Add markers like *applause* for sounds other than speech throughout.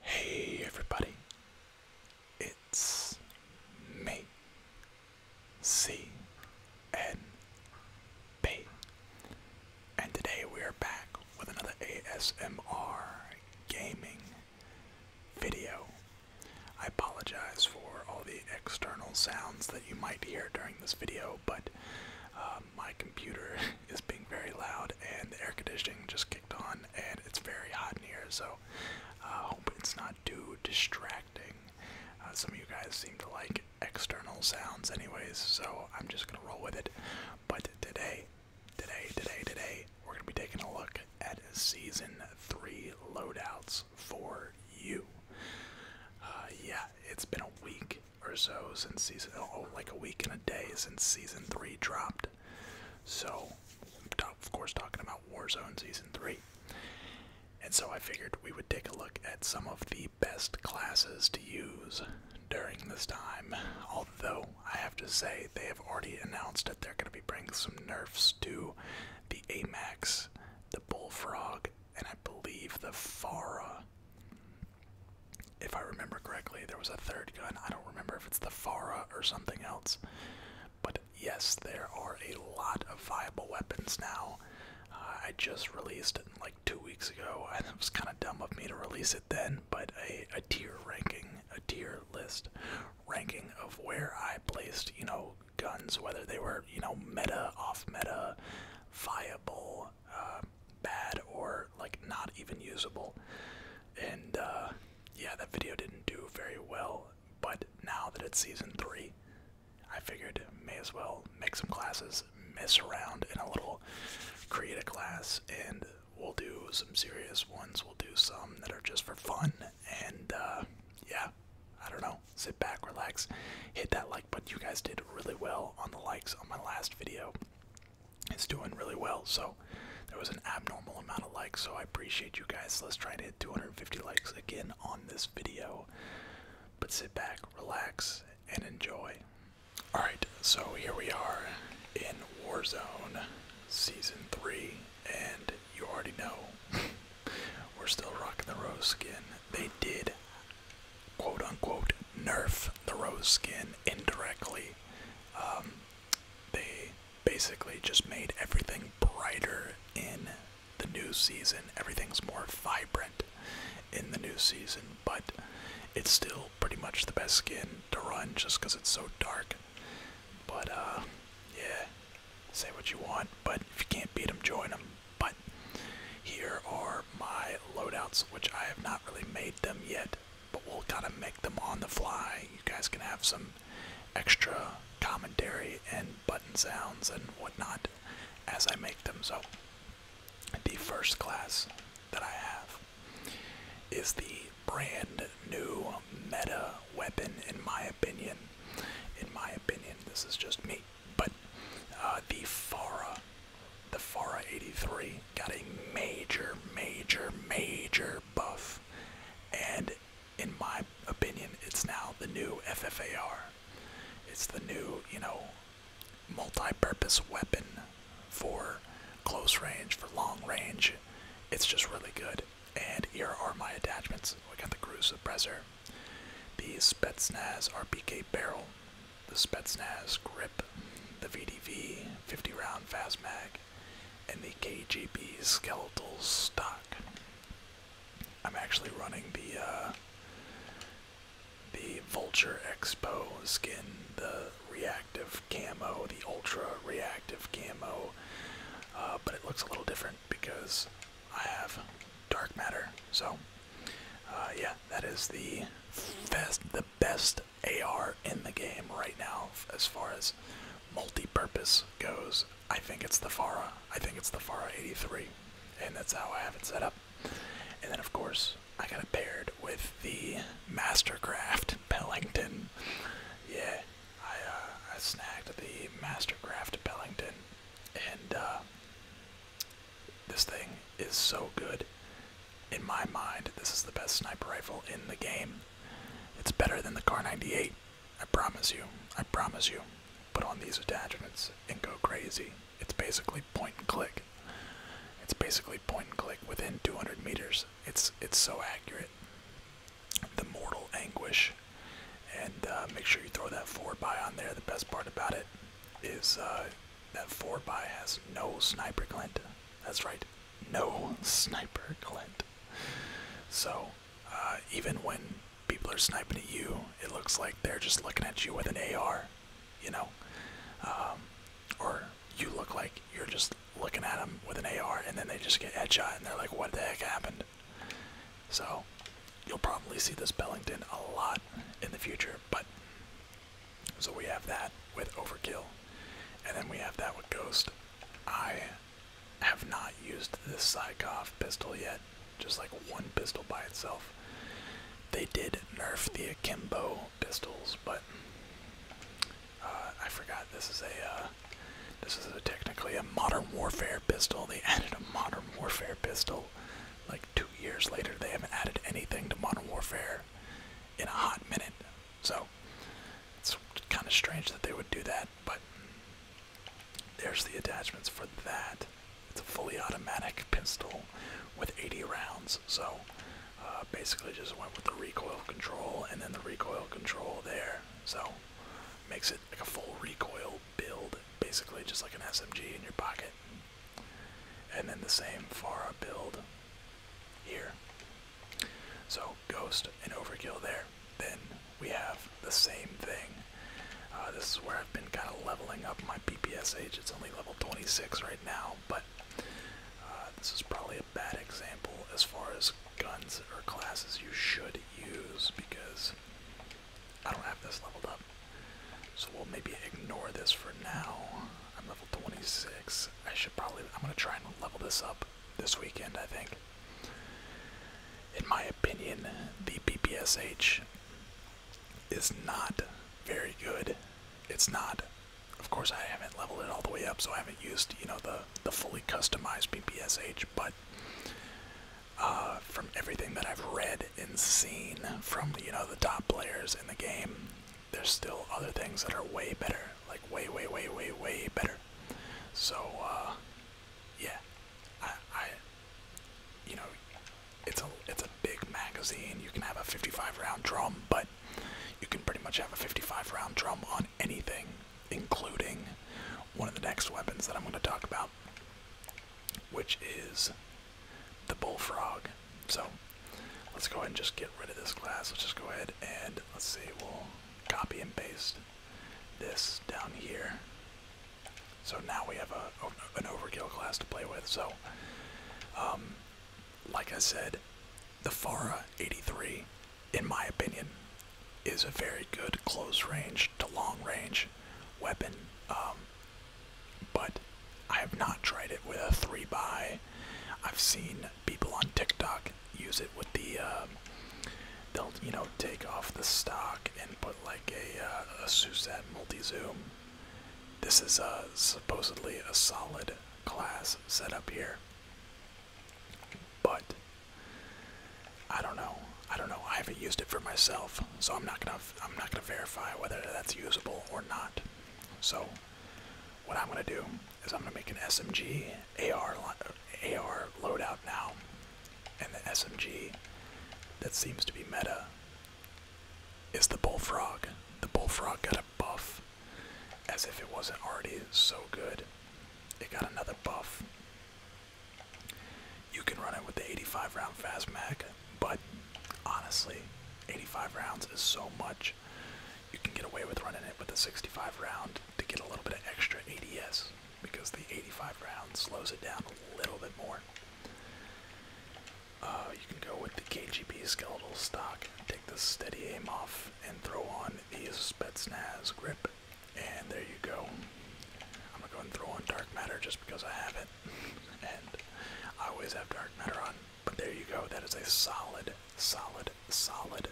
Hey everybody, it's me, C N B, and today we are back with another ASMR gaming video I apologize for all the external sounds that you might hear during this video, but uh, my computer *laughs* is being very loud and the air conditioning just kicked on and it's very hot in here, so I hope it's not too distracting. Uh, some of you guys seem to like external sounds anyways, so I'm just going to roll with it. But today, today, today, today, we're going to be taking a look at Season 3 loadouts for you. Uh, yeah, it's been a week or so since season, oh, like a week and a day since season three dropped. So, of course, talking about Warzone season three. And so I figured we would take a look at some of the best classes to use during this time. Although, I have to say, they have already announced that they're going to be bringing some nerfs to the AMAX, bullfrog, and I believe the Farah. If I remember correctly, there was a third gun. I don't remember if it's the Farah or something else. But yes, there are a lot of viable weapons now. Uh, I just released it like two weeks ago, and it was kind of dumb of me to release it then, but a, a tier ranking, a tier list ranking of where I placed, you know, guns, whether they were, you know, meta, off meta, viable, uh, bad, or like not even usable. And uh, yeah, that video didn't do very well, but now that it's season three, I figured may as well make some classes, mess around in a little, create a class, and we'll do some serious ones. We'll do some that are just for fun, and uh, yeah, I don't know sit back, relax, hit that like button. You guys did really well on the likes on my last video. It's doing really well. So there was an abnormal amount of likes, so I appreciate you guys. Let's try to hit 250 likes again on this video. But sit back, relax, and enjoy. Alright, so here we are in Warzone Season 3, and you already know *laughs* We're still rocking the rose skin. They did, quote unquote, nerf the rose skin indirectly. Um, they basically just made everything brighter in the new season. Everything's more vibrant in the new season, but it's still pretty much the best skin to run just because it's so dark. But, uh, yeah, Say what you want, but if you can't beat them, join them. But here are my loadouts, which I have not really made them yet, but we'll kind of make them on the fly. You guys can have some extra commentary and button sounds and whatnot as I make them. So, the first class that I have is the brand new meta weapon, in my opinion. In my opinion, this is just me. But uh, the Farah, the Farah 83, got a major, major, major buff, and in my opinion, it's now the new FFAR. It's the new, you know, multi-purpose weapon for close range, for long range. It's just really good. And here are my attachments. We got the cruise suppressor, the Spetsnaz RPK barrel, the Spetsnaz grip, the VDV 50 round fast mag, and the KGB skeletal stock. I'm actually running the uh, the Vulture Expo skin, the reactive camo, the ultra reactive camo, uh, but it looks a little different because I have dark matter. So, uh, yeah, that is the best, the best AR in the game right now as far as multi-purpose goes. I think it's the Farah. I think it's the Farah 83, and that's how I have it set up. And then, of course, I got it paired with the Mastercraft *laughs* Pellington. Yeah, I, uh, I snagged the Mastercraft Bellington, and uh, this thing is so good. In my mind, this is the best sniper rifle in the game. It's better than the Car 98, I promise you. I promise you. Put on these attachments and go crazy. It's basically point and click. It's basically point and click within 200 meters. It's it's so accurate the mortal anguish. And uh, make sure you throw that four by on there. The best part about it is uh, that four by has no sniper glint. That's right, no sniper glint. So uh, even when people are sniping at you, it looks like they're just looking at you with an AR, you know? Um, or you look like you're just looking at them with an AR and then they just get headshot and they're like, what the heck happened? So you'll probably see this Bellington a lot in the future, but so we have that with Overkill, and then we have that with Ghost. I have not used this Psykov pistol yet, just like one pistol by itself. They did nerf the Akimbo pistols, but uh, I forgot this is a uh, this is technically a modern warfare pistol. They *laughs* added a modern warfare pistol like two years later. They haven't added anything to modern warfare in a hot minute, so it's kind of strange that they would do that. But there's the attachments for that. It's a fully automatic pistol with 80 rounds, so. Uh, basically just went with the recoil control and then the recoil control there. So Makes it like a full recoil build, basically just like an SMG in your pocket. And then the same Farah build here. So Ghost and Overkill there. Then we have the same thing. Uh, this is where I've been kind of leveling up my PPSH. It's only level 26 right now, but uh, this is probably a bad example as far as guns or classes you should use because I don't have this leveled up. So we'll maybe ignore this for now. I'm level 26. I should probably, I'm going to try and level this up this weekend, I think. In my opinion, the PPSH is not very good. It's not. Of course, I haven't leveled it all the way up, so I haven't used, you know, the the fully customized BPSH, but uh, from everything that I've read and seen from you know the top players in the game, there's still other things that are way better, like way way way way way better. So uh, yeah, I you know it's a it's a big magazine. You can have a 55 round drum, but you can pretty much have a 55 round drum on anything including one of the next weapons that I'm going to talk about, which is the bullfrog. So let's go ahead and just get rid of this class. Let's just go ahead and let's see, we'll copy and paste this down here. So now we have a, an overkill class to play with. So, um, like I said, the Farah 83, in my opinion, is a very good close range to long range weapon. Um, but I have not tried it with a 3 by. I've seen people on TikTok use it with the. Um, they'll you know take off the stock and put like a uh, a Suzette multi zoom. This is uh, supposedly a solid class setup here, but I don't know. I don't know. I haven't used it for myself, so I'm not gonna I'm not gonna verify whether that's usable or not. So what I'm gonna do is I'm gonna make an SMG AR AR loadout now, and the SMG that seems to be meta is the bullfrog. The bullfrog got a buff as if it wasn't already so good. It got another buff. You can run it with the 85 round fast mag, but honestly, 85 rounds is so much. You can get away with running it with the 65 round to get a little bit of extra ADS because the 85 round slows it down a little bit more. Uh, you can go with the KGB skeletal stock, take the steady aim off and throw on his Spetsnaz grip. And there you go. I'm gonna go and throw on Dark Matter just because I have it. *laughs* and I always have Dark Matter on. But there you go. That is a solid, solid, solid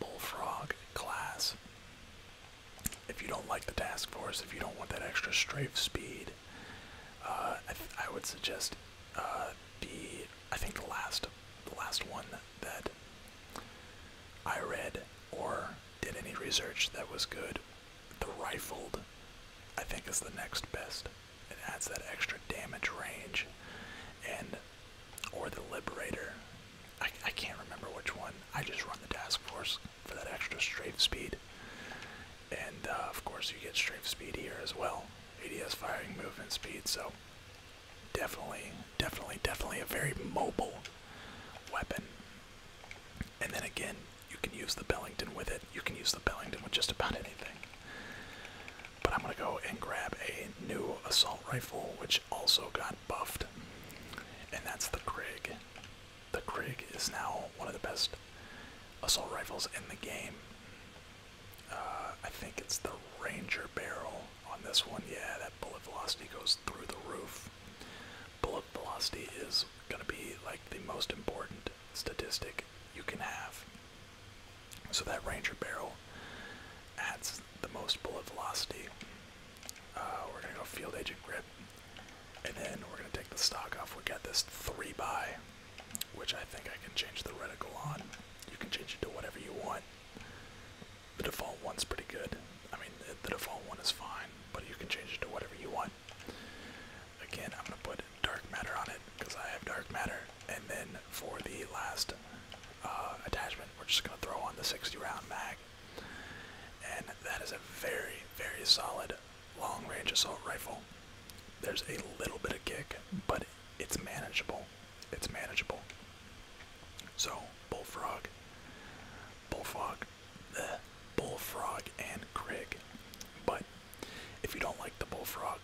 Bullfrog class. If you don't like the Task Force, if you don't want that extra strafe speed, uh, I, would suggest be. Uh, I think the last the last one that I read or did any research that was good. The rifled, I think, is the next best. It adds that extra damage range, and or the liberator. I, I can't remember which one. I just run the task force for that extra strafe speed, and uh, of course you get strafe speed here as well. ADS firing movement speed. So Definitely, definitely, definitely a very mobile weapon. And then again, you can use the Bellington with it. You can use the Bellington with just about anything. But I'm gonna go and grab a new assault rifle, which also got buffed, and that's the Krig. The Krig is now one of the best assault rifles in the game. Uh, I think it's the Ranger barrel on this one. Yeah, that bullet velocity goes through the roof. Bullet velocity is going to be like the most important statistic you can have. So that Ranger barrel adds the most bullet velocity. Uh, we're going to go Field Agent Grip. And then we're going to take the stock off. We got this 3 by, which I think I can change the reticle on. You can change it to whatever you want. The default one's pretty good. I mean, the, default one is fine, but you can change it to whatever you want. Again, I'm gonna put dark matter on it because I have dark matter, and then for the last uh, attachment, we're just gonna throw on the 60-round mag, and that is a very, very solid long-range assault rifle. There's a little bit of kick, but it's manageable. It's manageable. So, Bullfrog, Bullfrog, the Bullfrog and Krig. But if you don't like the Bullfrog,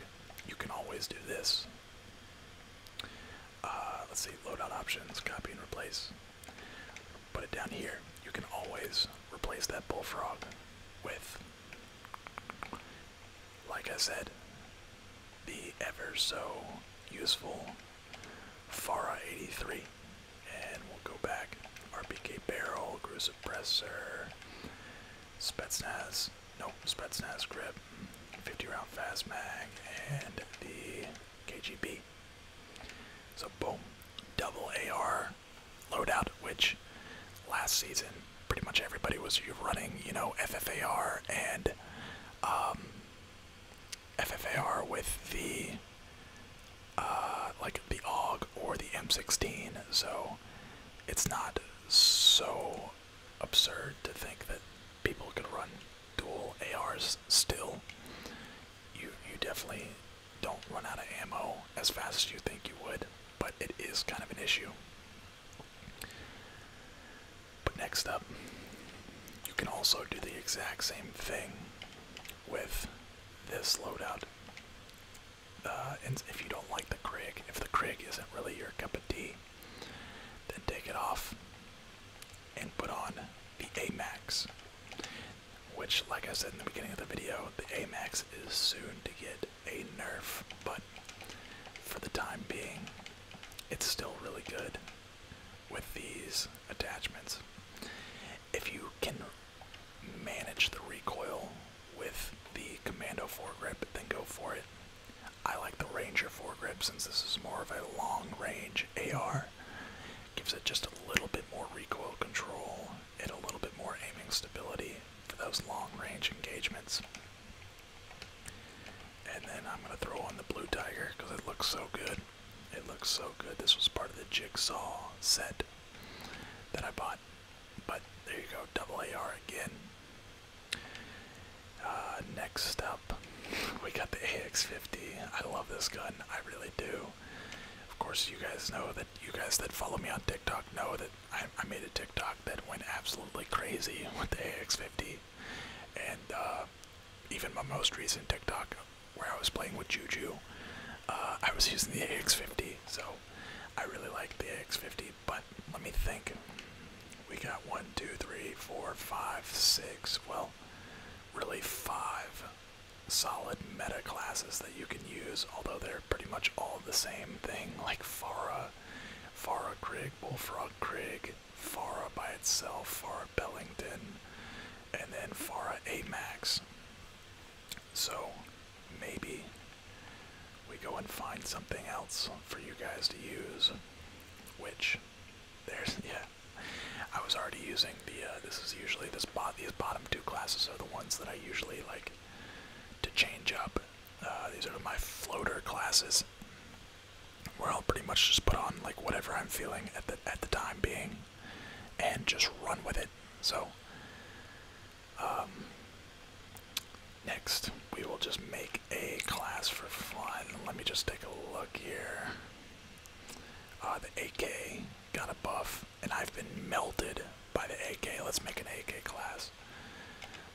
you can always do this. Uh, let's see, loadout options, copy and replace. Put it down here. You can always replace that Bullfrog with like I said, the ever so useful Farah 83. And we'll go back. RPK barrel, grew suppressor, Spetsnaz, nope, Spetsnaz grip, 50 round fast mag, and the KGB. So boom, double AR loadout, which last season pretty much everybody was running, you know, FFAR and um, FFAR with the uh, like the AUG or the M16. So it's not so absurd to think that people can run dual ARs still. You you definitely don't run out of ammo as fast as you think you would, but it is kind of an issue. But next up, you can also do the exact same thing with this loadout. Uh, and if you don't like the Krig, if the Krig isn't really your cup of tea, then take it off and put on the AMAX. Which, like I said in the beginning of the video, the AMAX is soon to get a nerf, but for the time being, it's still really good with these attachments. If you can manage the recoil with the commando foregrip, then go for it. I like the Ranger foregrip since this is more of a long range AR. Gives it just a little bit more recoil control and a little bit more aiming stability for those long range engagements. And then I'm going to throw on the blue tiger because it looks so good. It looks so good. This was part of the jigsaw set that I bought. But there you go, double AR again. Uh, next up, *laughs* we got the AX50. I love this gun, I really do. Of course, you guys know that you guys that follow me on TikTok know that I, made a TikTok that went absolutely crazy with the AX50, and uh, even my most recent TikTok where I was playing with Juju, uh, I was using the AX50. So I really like the AX50, but let me think. We got one, two, three, four, five, six. Well, really five solid meta classes that you can use, although they're pretty much all the same thing, like Farah Farah Wolf Frog Craig, Farah by itself, Farah Bellington, and then Farah Amax. So maybe we go and find something else for you guys to use, which there's *laughs* yeah. I was already using the uh, this is usually this these bottom two classes are the ones that I usually like to change up uh, these are my floater classes, We're all pretty much just put on like whatever I'm feeling at the at the time being, and just run with it. So, um, next we will just make a class for fun. Let me just take a look here. Uh, the AK got a buff, and I've been melted by the AK. Let's make an AK class.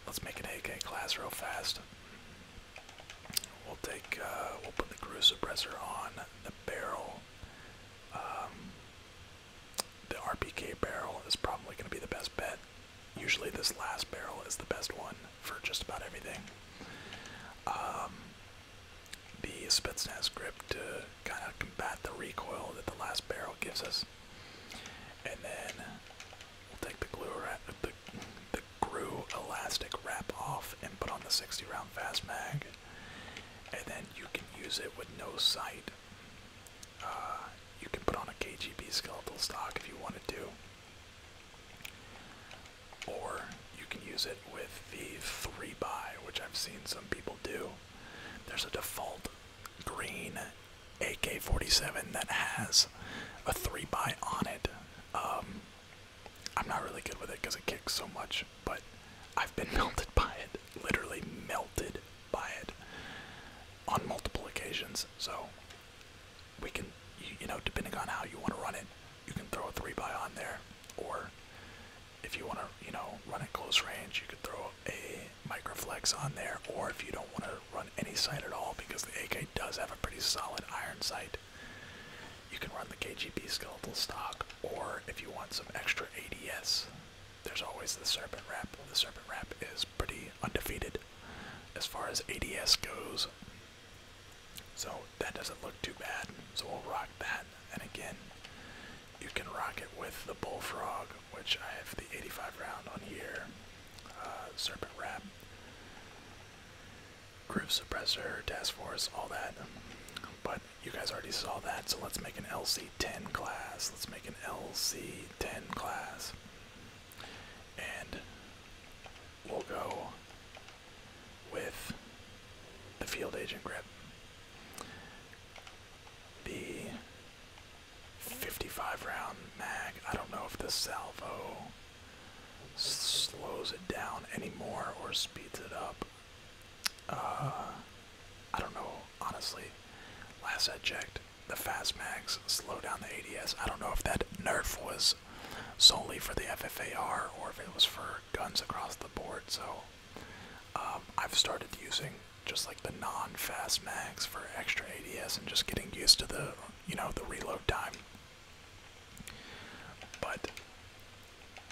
Let's make an AK class real fast. We'll take, uh, we'll put the suppressor on the barrel. Um, the RPK barrel is probably going to be the best bet. Usually, this last barrel is the best one for just about everything. Um, the Spetsnaz grip to kind of combat the recoil that the last barrel gives us. And then we'll take the glue wrap, the the grew elastic wrap off and put on the 60 round fast mag. And then you can use it with no sight. Uh, you can put on a KGB skeletal stock if you want to. do. Or you can use it with the 3 by which I've seen some people do. There's a default green AK-47 that has a three by on it. Um, I'm not really good with it because it kicks so much, but I've been *laughs* melted by it, literally melted by it, on multiple occasions. So we can, you know, depending on how you want to run it, you can throw a three by on there, or if you want to, you know, run at close range, you could throw a Microflex on there, or if you don't want to run any sight at all because the AK does have a pretty solid iron sight, you can run the KGB skeletal stock, or if you want some extra ADS, there's always the serpent wrap. The serpent wrap is pretty undefeated as far as ADS goes. So that doesn't look too bad. So we'll rock that. And again, you can rock it with the bullfrog which I have the 85 round on here, uh, Serpent Wrap, Groove Suppressor, Task Force, all that. But you guys already saw that, so let's make an LC10 class. Let's make an LC10 class. And we'll go with the Field Agent Grip. The 55 round mag. I don't know if the salvo slows it down anymore or speeds it up. Uh, I don't know, honestly. Last I checked, the fast mags slow down the ADS. I don't know if that nerf was solely for the FFAR or if it was for guns across the board. So um, I've started using just like the non-fast mags for extra ADS and just getting used to the, you know, the reload time. But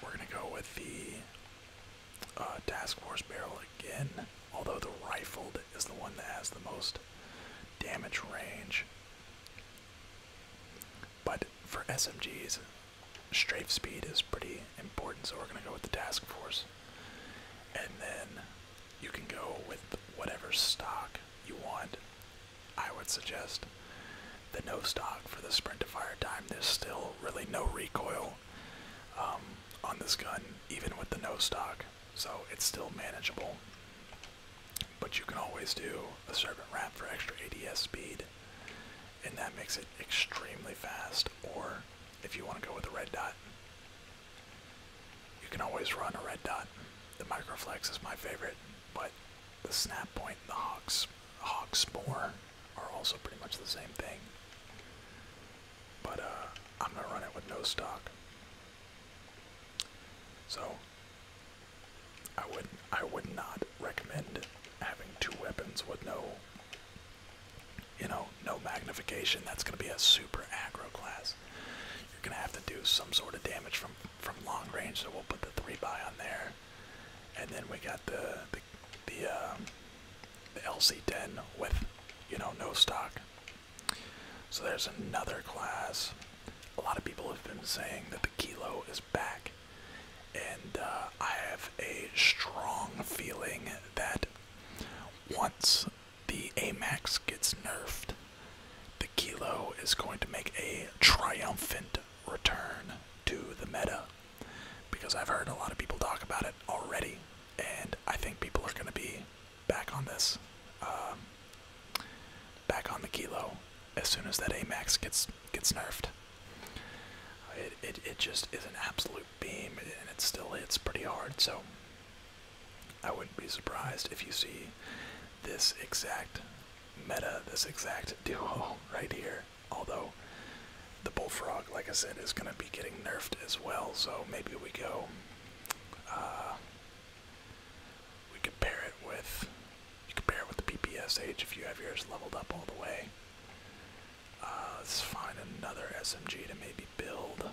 we're gonna go with the uh, Task Force barrel again, although the rifled is the one that has the most damage range. But for SMGs, strafe speed is pretty important, so we're gonna go with the Task Force. And then you can go with whatever stock you want. I would suggest the no stock for the sprint to fire time. There's still really no recoil um, on this gun, even with the no stock, so it's still manageable. But you can always do a serpent wrap for extra ADS speed, and that makes it extremely fast. Or if you want to go with a red dot, you can always run a red dot. The Microflex is my favorite, but the Snap Point and the Hawks, Hawks are also pretty much the same thing. But uh, I'm going to run it with no stock. So I would I would not recommend having two weapons with no you know, no magnification, that's going to be a super agro class. You're going to have to do some sort of damage from from long range, so we'll put the three by on there, and then we got the the the, um, LC10 with you know no stock. So there's another class. A lot of people have been saying that the kilo is back, and uh, I have a strong feeling that once the Amax gets nerfed, the Kilo is going to make a triumphant return to the meta because I've heard a lot of people talk about it already, and I think people are going to be back on this, um, back on the Kilo as soon as that Amax gets gets nerfed. It, it, it just is an absolute beam and it still hits pretty hard, so I wouldn't be surprised if you see this exact meta, this exact *laughs* duo right here. Although the bullfrog, like I said, is going to be getting nerfed as well, so maybe we go. Uh, we could pair it with. You could pair it with the PPSH if you have yours leveled up all the way. Uh, let's find another SMG to maybe build.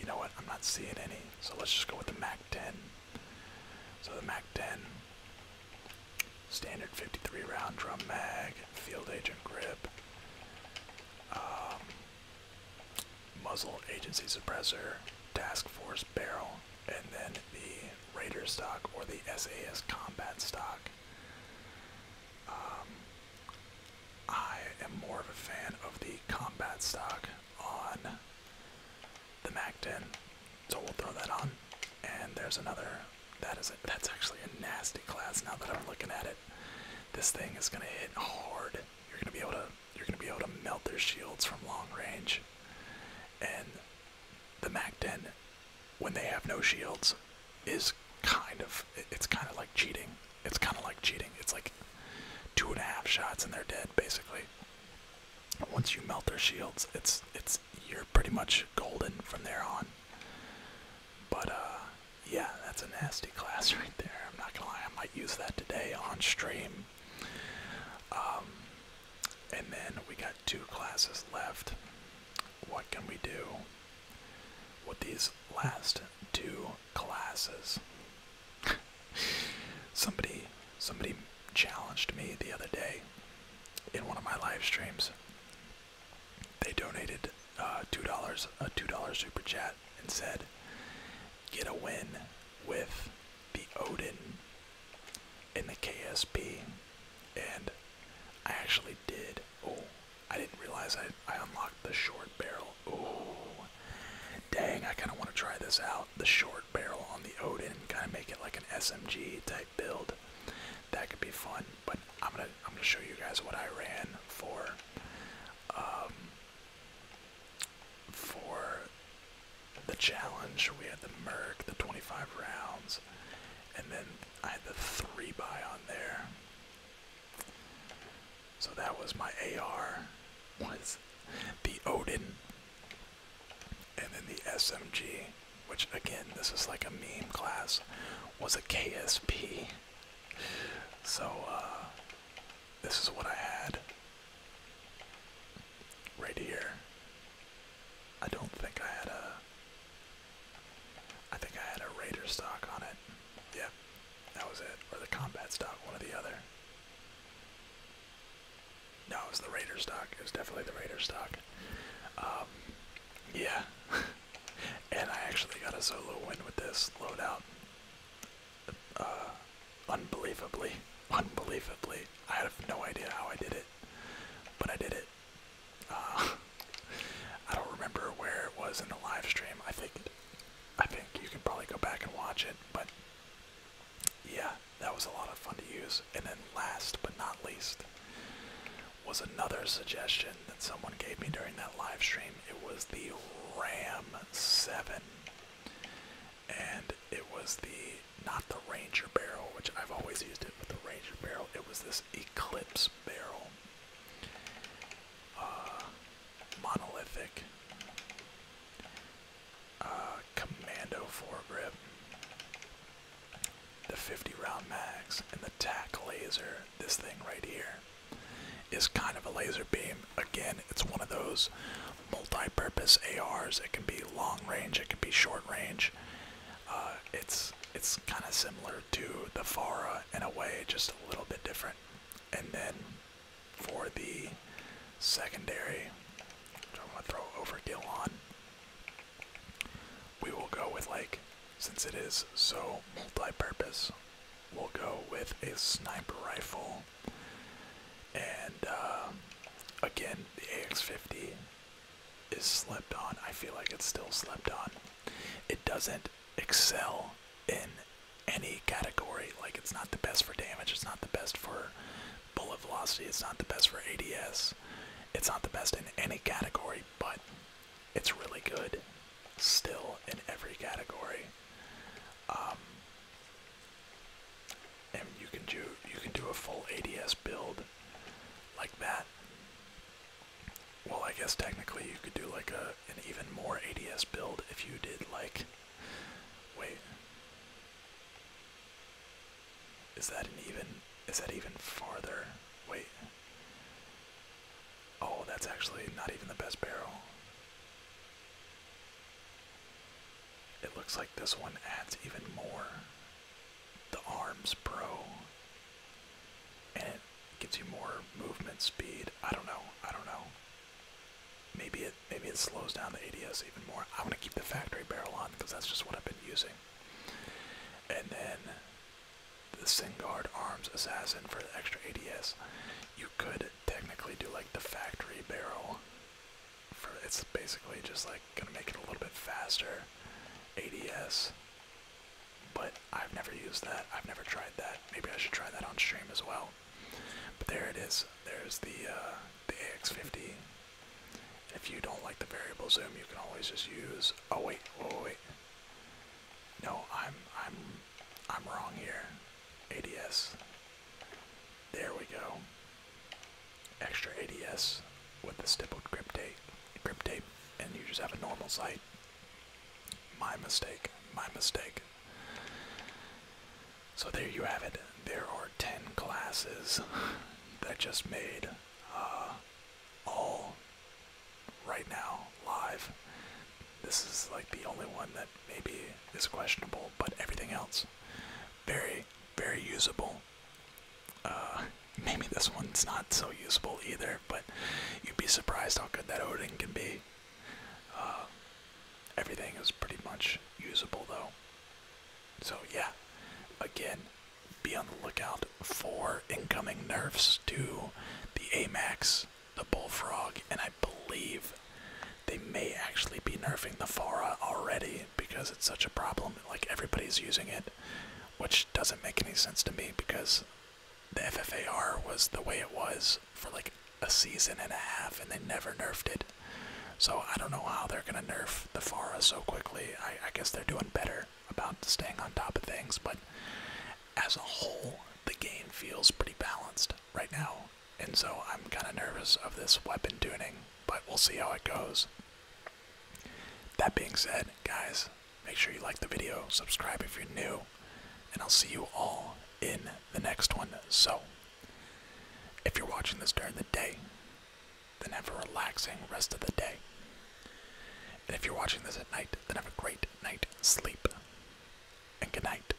You know what? I'm not seeing any, so let's just go with the Mac 10. So the Mac 10, standard 53 round drum mag, field agent grip, um, muzzle agency suppressor, task force barrel, and then the Raider stock or the SAS combat stock. Um, I am more of a fan of the combat stock on the Mac 10, so we'll throw that on. And there's another. That is a, That's actually a nasty class. Now that I'm looking at it, this thing is gonna hit hard. You're gonna be able to. You're gonna be able to melt their shields from long range. And the Mac 10, when they have no shields, is kind of it's kind of like cheating. It's kind of like cheating. It's like two and a half shots and they're dead basically. Once you melt their shields, it's it's you're pretty much golden from there on. But uh, yeah, that's a nasty class *laughs* right there. I'm not gonna lie, I might use that today on stream. Um, and then we got two classes left. What can we do? What these last two classes. somebody somebody challenged me the other day in one of my live streams. They donated uh, two dollars a two dollar super chat and said, "Get a win with the Odin in the KSP," and I actually did. Oh, I didn't realize I, I unlocked the short barrel. Ooh. Dang, I kind of want to try this out. The short barrel on the Odin, kind of make it like an SMG type build. That could be fun, but I'm gonna I'm gonna show you guys what I ran for um for the challenge. We had the Merc, the 25 rounds, and then I had the three by on there. So that was my AR, was the Odin, and then the SMG, which again, this is like a meme class, was a KSP. So uh, this is what I had right here. I don't think I had a I think I had a Raider stock on it. Yep, that was it. Or the combat stock, one or the other. No, it was the Raider stock. It was definitely the Raider stock. Um, yeah. *laughs* and I actually got a solo win with this loadout. Uh, unbelievably. Unbelievably. I have no idea how I did it. But I did it. Uh, I don't remember where it was in the live stream. I think, I think you can probably go back and watch it. But yeah, that was a lot of fun to use. And then last but not least was another suggestion that someone gave me during that live stream. It was the Ram 7. And it was the, not the Ranger barrel, which I've always used it with the Ranger barrel. It was this Eclipse barrel. Uh, monolithic, uh, commando foregrip, the 50 round mags, and the tack laser. This thing right here is kind of a laser beam. Again, it's one of those multi-purpose ARs. It can be long range, it can be short range. Uh, it's it's kind of similar to the Farah in a way just a little bit different. And then for the secondary, which I want to throw overkill on, we will go with like, since it is so multi-purpose, we'll go with a sniper rifle. And uh, again, the AX-50 is slept on. I feel like it's still slept on. It doesn't excel in any category. Like it's not the best for damage, it's not the best for bullet velocity, it's not the best for ADS. It's not the best in any category, but it's really good still in every category. Um, and you can do you can do a full ADS build like that. Well, I guess technically you could do like a an even more ADS build if you did like. Wait. Is that an even? Is that even farther? Wait. Oh, that's actually not even the best barrel. It looks like this one adds even more the arms pro and it gives you more movement speed. I don't know. I don't know. Maybe it maybe it slows down the ADS even more. I'm gonna keep the factory barrel on because that's just what I've been using. And then the Singard Arms Assassin for extra ADS. You could technically do like the factory barrel. For it's basically just like gonna make it a little bit faster. ADS but I've never used that. I've never tried that. Maybe I should try that on stream as well. But there it is. There's the uh, the AX50. If you don't like the variable zoom, you can always just use. Oh wait, wait, wait. No, I'm I'm I'm wrong here. ADS. There we go. Extra ADS with the stippled grip tape grip tape and you just have a normal sight. My mistake. My mistake. So there you have it. There are 10 classes that just made uh, all right now live. This is like the only one that maybe is questionable, but everything else very, very usable. Uh, maybe this one's not so usable either, but you'd be surprised how good that Odin can be. Uh, everything is pretty much usable though. So yeah, again, be on the lookout for incoming nerfs to the Amax, the Bullfrog, and I believe they may actually be nerfing the Farah already because it's such a problem. Like everybody's using it which doesn't make any sense to me because the FFAR was the way it was for like a season and a half and they never nerfed it. So I don't know how they're going to nerf the Farah so quickly. I, I guess they're doing better about staying on top of things, but as a whole, the game feels pretty balanced right now. And so I'm kind of nervous of this weapon tuning, but we'll see how it goes. That being said, guys, Make sure you like the video, subscribe if you're new, and I'll see you all in the next one. So, if you're watching this during the day, then have a relaxing rest of the day. And if you're watching this at night, then have a great night sleep. And good night.